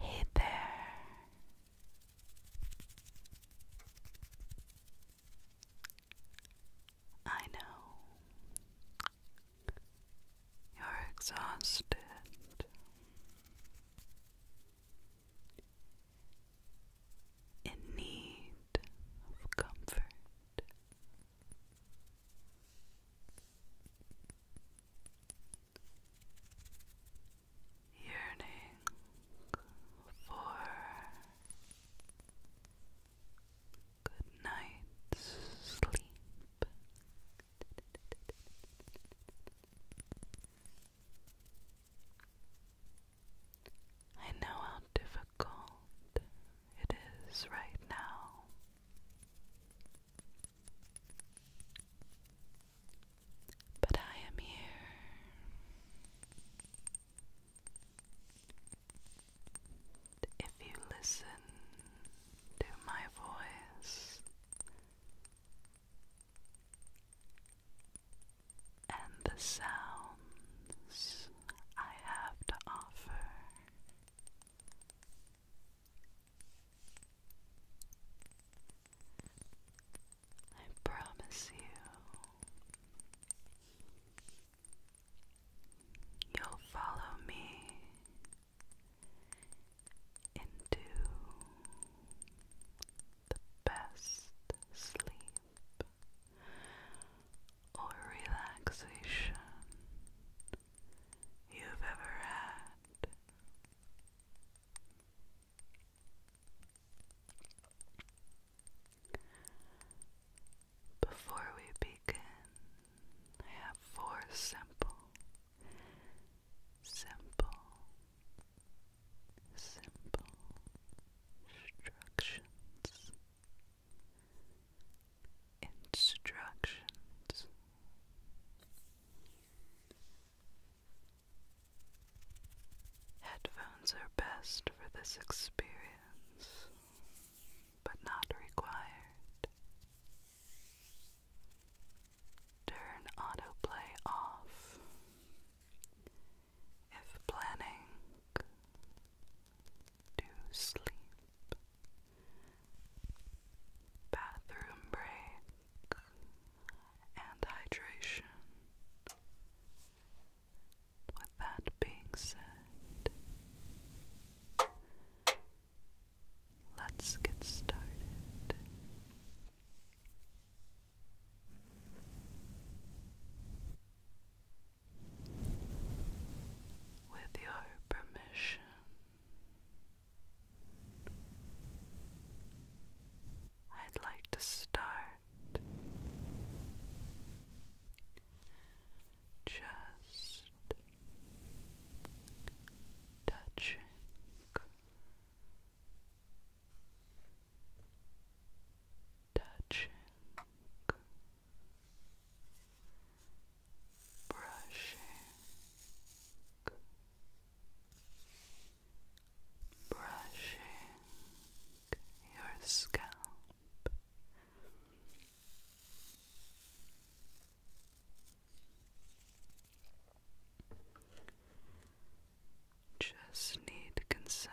Hey I know you're exhausted in need of comfort. Yearning for good night's sleep. I know how difficult it is right now. But I am here. If you listen to my voice, and the sounds I have to offer. I promise you, you'll follow me into the best sleep or relaxation you've ever had. Before we begin, have four simple simple, simple instructions, instructions. Headphones are best for this experience, but not required. Turn autoplay off if planning to sleep. Bathroom break and hydration. With that being said, let's get started. With permission, I'd like to start just touching touching, brushing, brushing your scalp just need consent.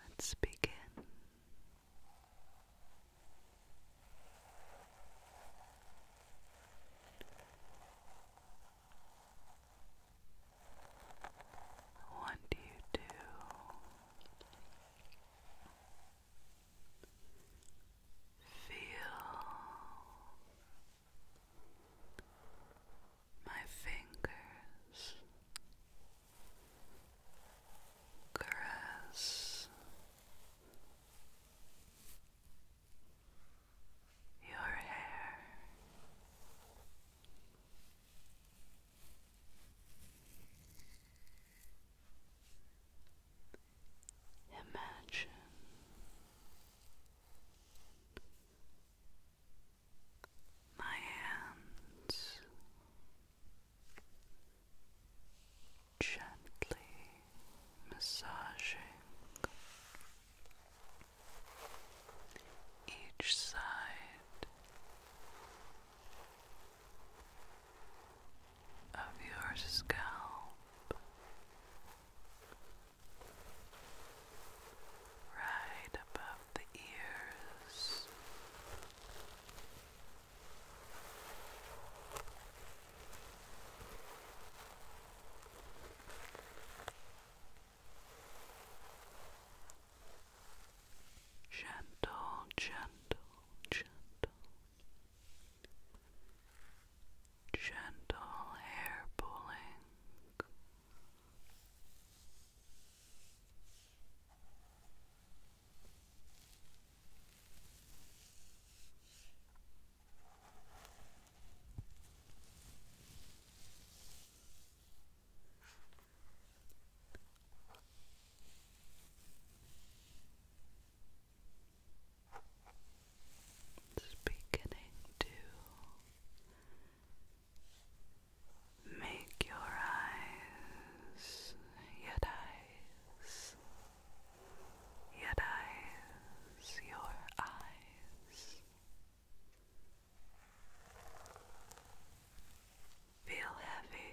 Let's begin. I want you to Feel my fingers caress your hair. Imagine my hands gently massaging each side of your scalp right above the ears. Gentle, gentle, gentle gentle hair pulling. It's beginning to make your eyes, yet eyes, yet eyes, your eyes feel heavy.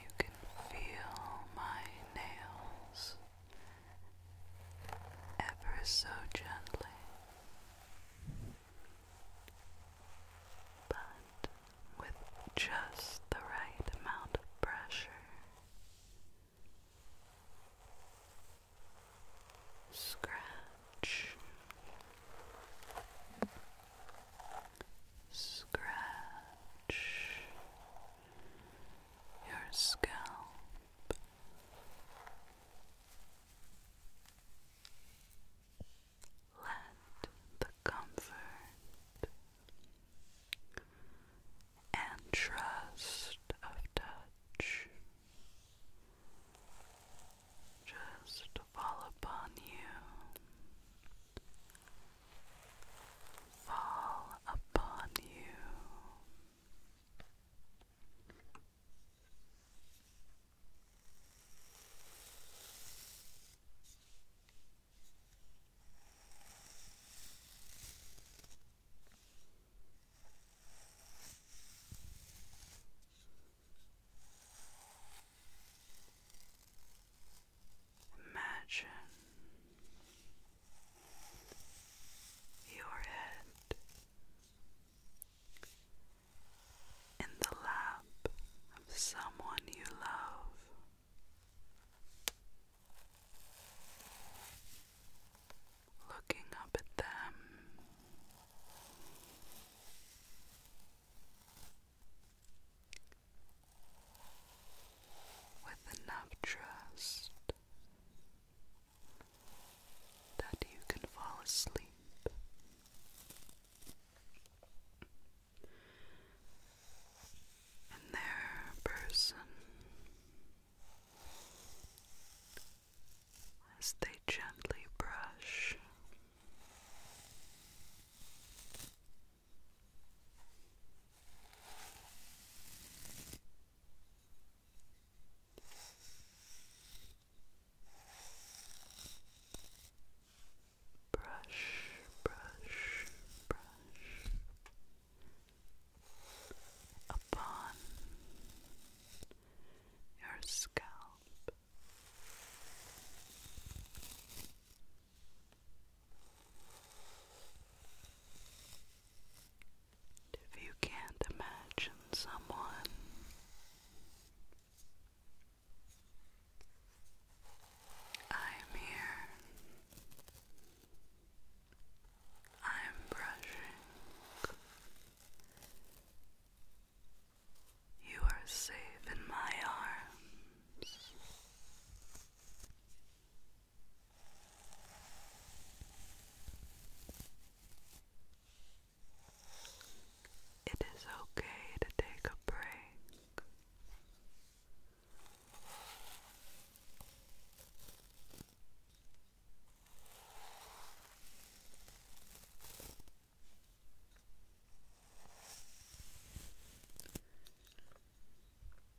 You can feel my nails ever so gently, but with just the right amount of pressure. Scratch, scratch your scalp. Let the comfort and trust of touch just fall upon you, fall upon you. Imagine your head in the lap of someone you love looking up at them. With enough trust that you can fall asleep. And their person as they gently brush. Brush, brush, brush upon your scalp. If you can't imagine someone, I'm here. I'm brushing. You are safe in my arms. It is okay to take a break.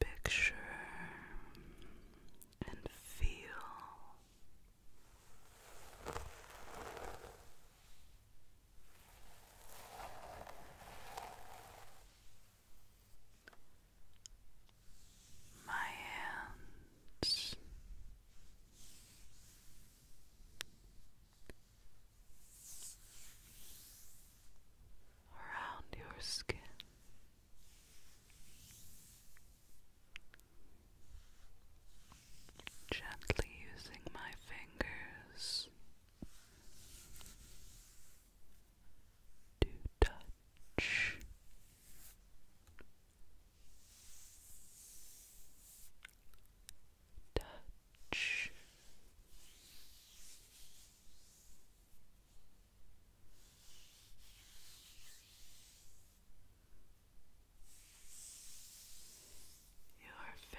Picture and feel my hands. Around your skin, gently using my fingers to touch touch your face.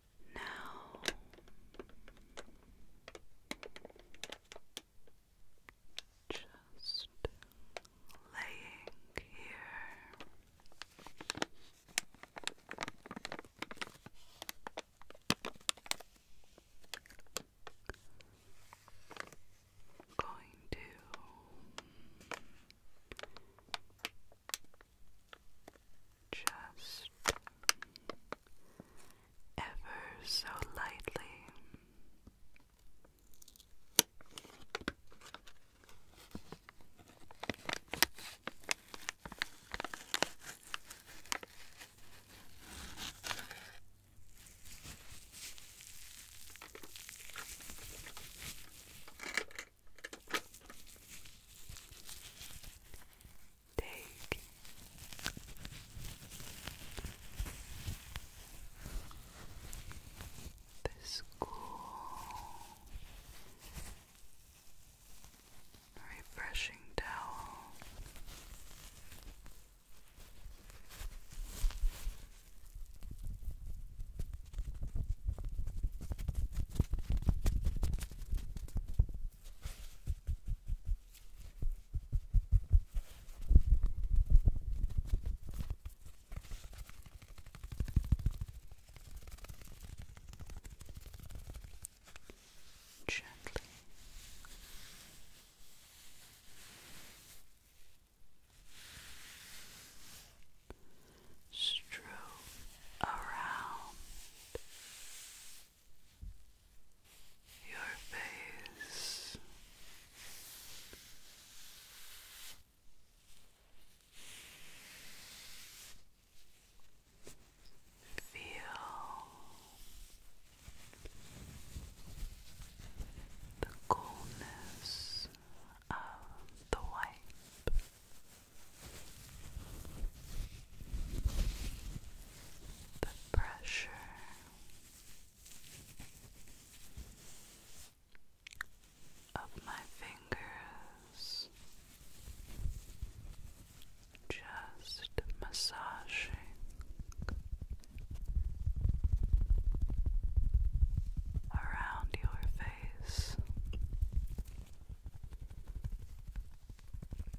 Now just laying here. Going to just ever so lightly. Take the school refreshing towel. Gently. Strew around your face. Feel the coolness of the wipe the pressure of my fingers just massaging. Around your face,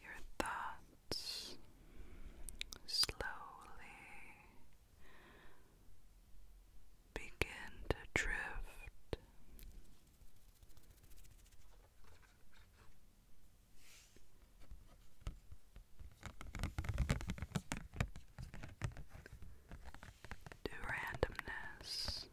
Your thoughts slowly begin to drift to randomness.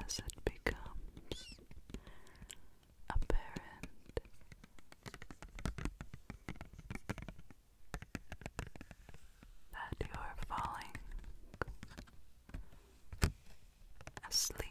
As it becomes apparent that you are falling asleep.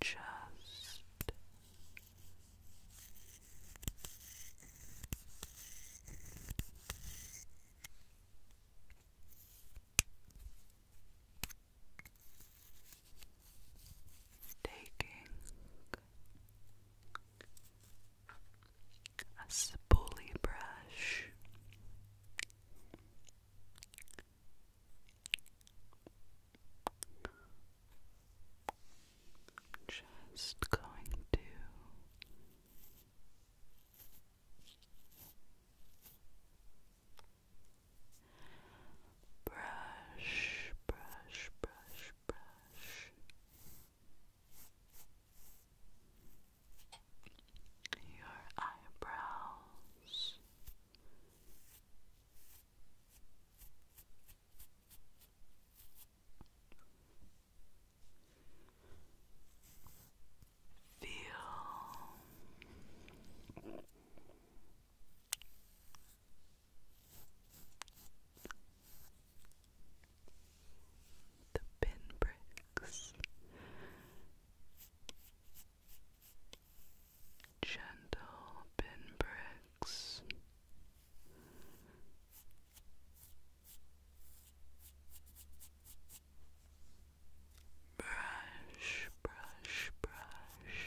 Just taking a spoolie brush. Just going to brush, brush, brush, brush your eyebrows. Feel the pinpricks gentle pinpricks brush brush brush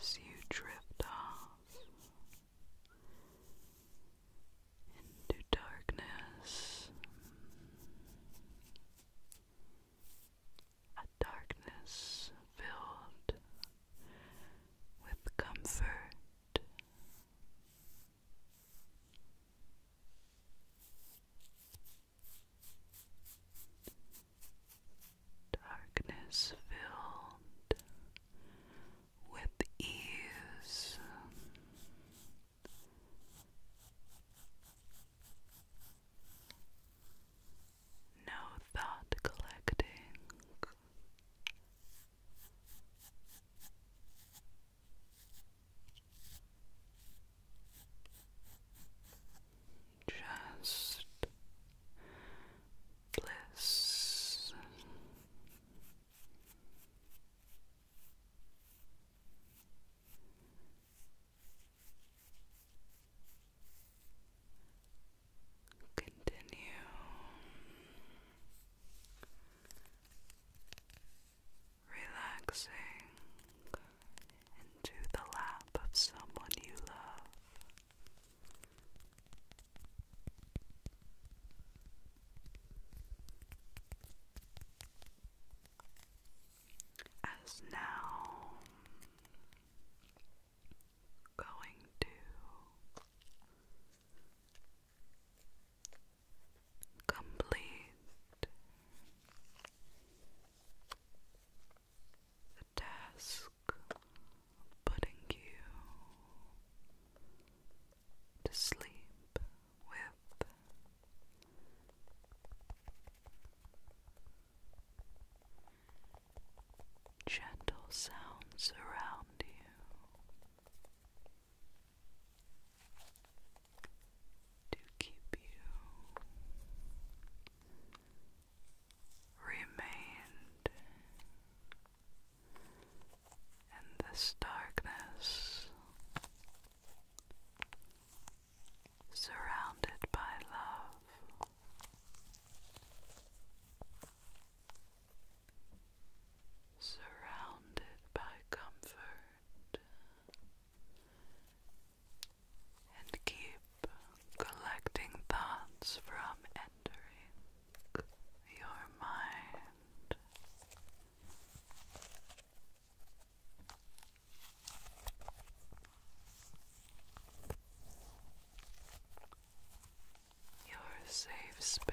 as you drift off into darkness, a darkness filled with comfort. Darkness filled with ease. No thought collecting just bliss. Continue. Relaxing into the lap of someone you love. As now going to complete the task putting you to sleep with gentle sounds around you. To keep you remained in this darkness, surrounded by love. Surrounded by comfort and keep collecting thoughts from entering your mind. Your safe space.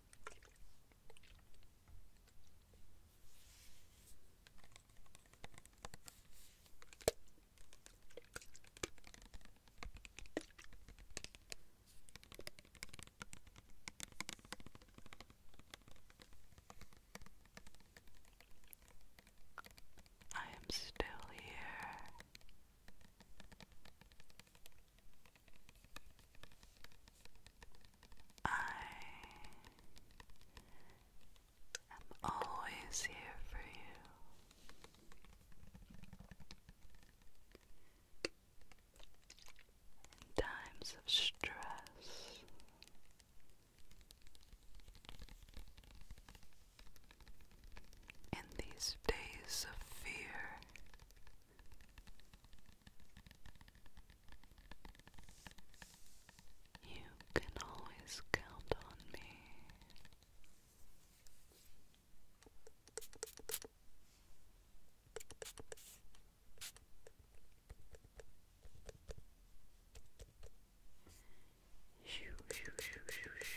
I am still here. I am always here for you. In times of stress, in these days of fear, you can always count on me. Shoo, shoo, shoo, shoo, shoo.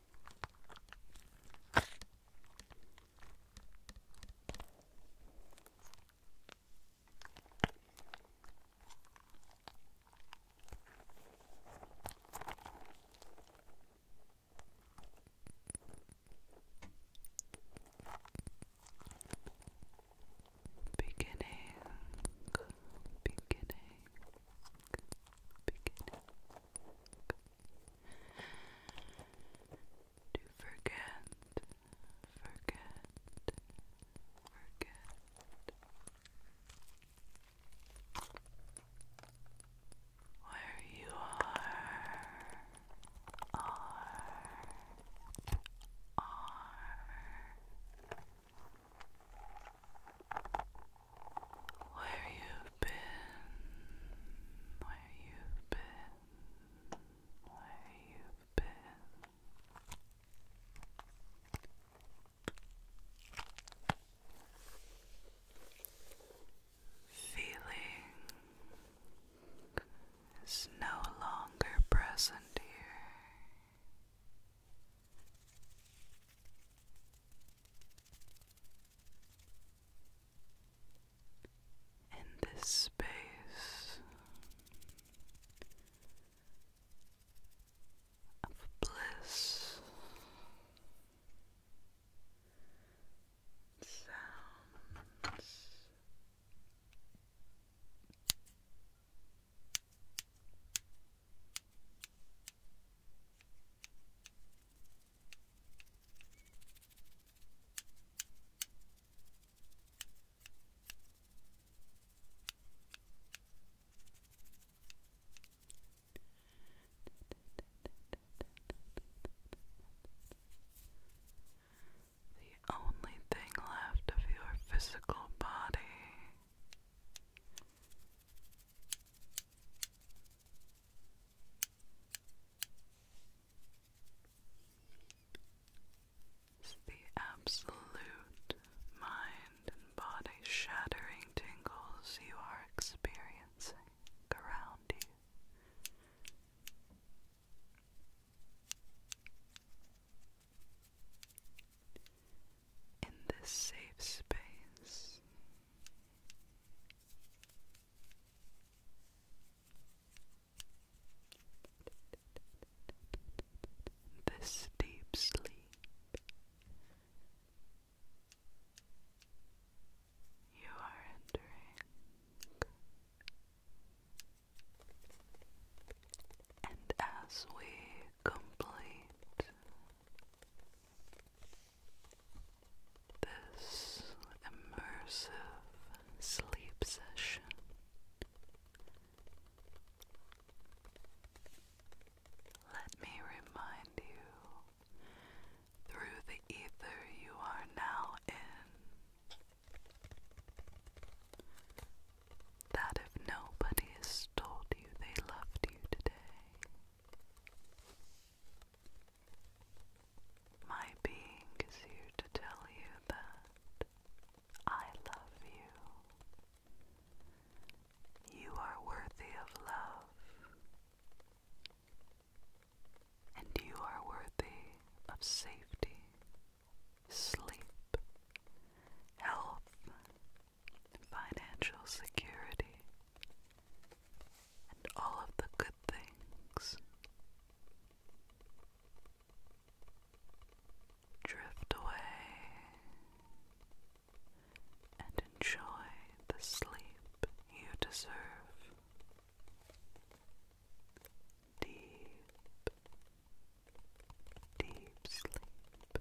Beginning, beginning, beginning to forget, forget, forget. Where you are, are, are. Where you've been, where you've been, where you've been. Feeling is no longer present here. In this space of bliss sounds. The only thing left of your physical body the absolute mind and body shattering tingles you are experiencing around you in this safe space. This deep sleep, you are entering, and as we complete this immersive sleep session let me remind you through the ether you are now in that if nobody has told you they loved you today, my being is here to tell you that I love you. You are worthy of love, and you are worthy of safety, sleep, health, financial security, and all of the good things. Drift away and enjoy the sleep you deserve. Deep, deep sleep.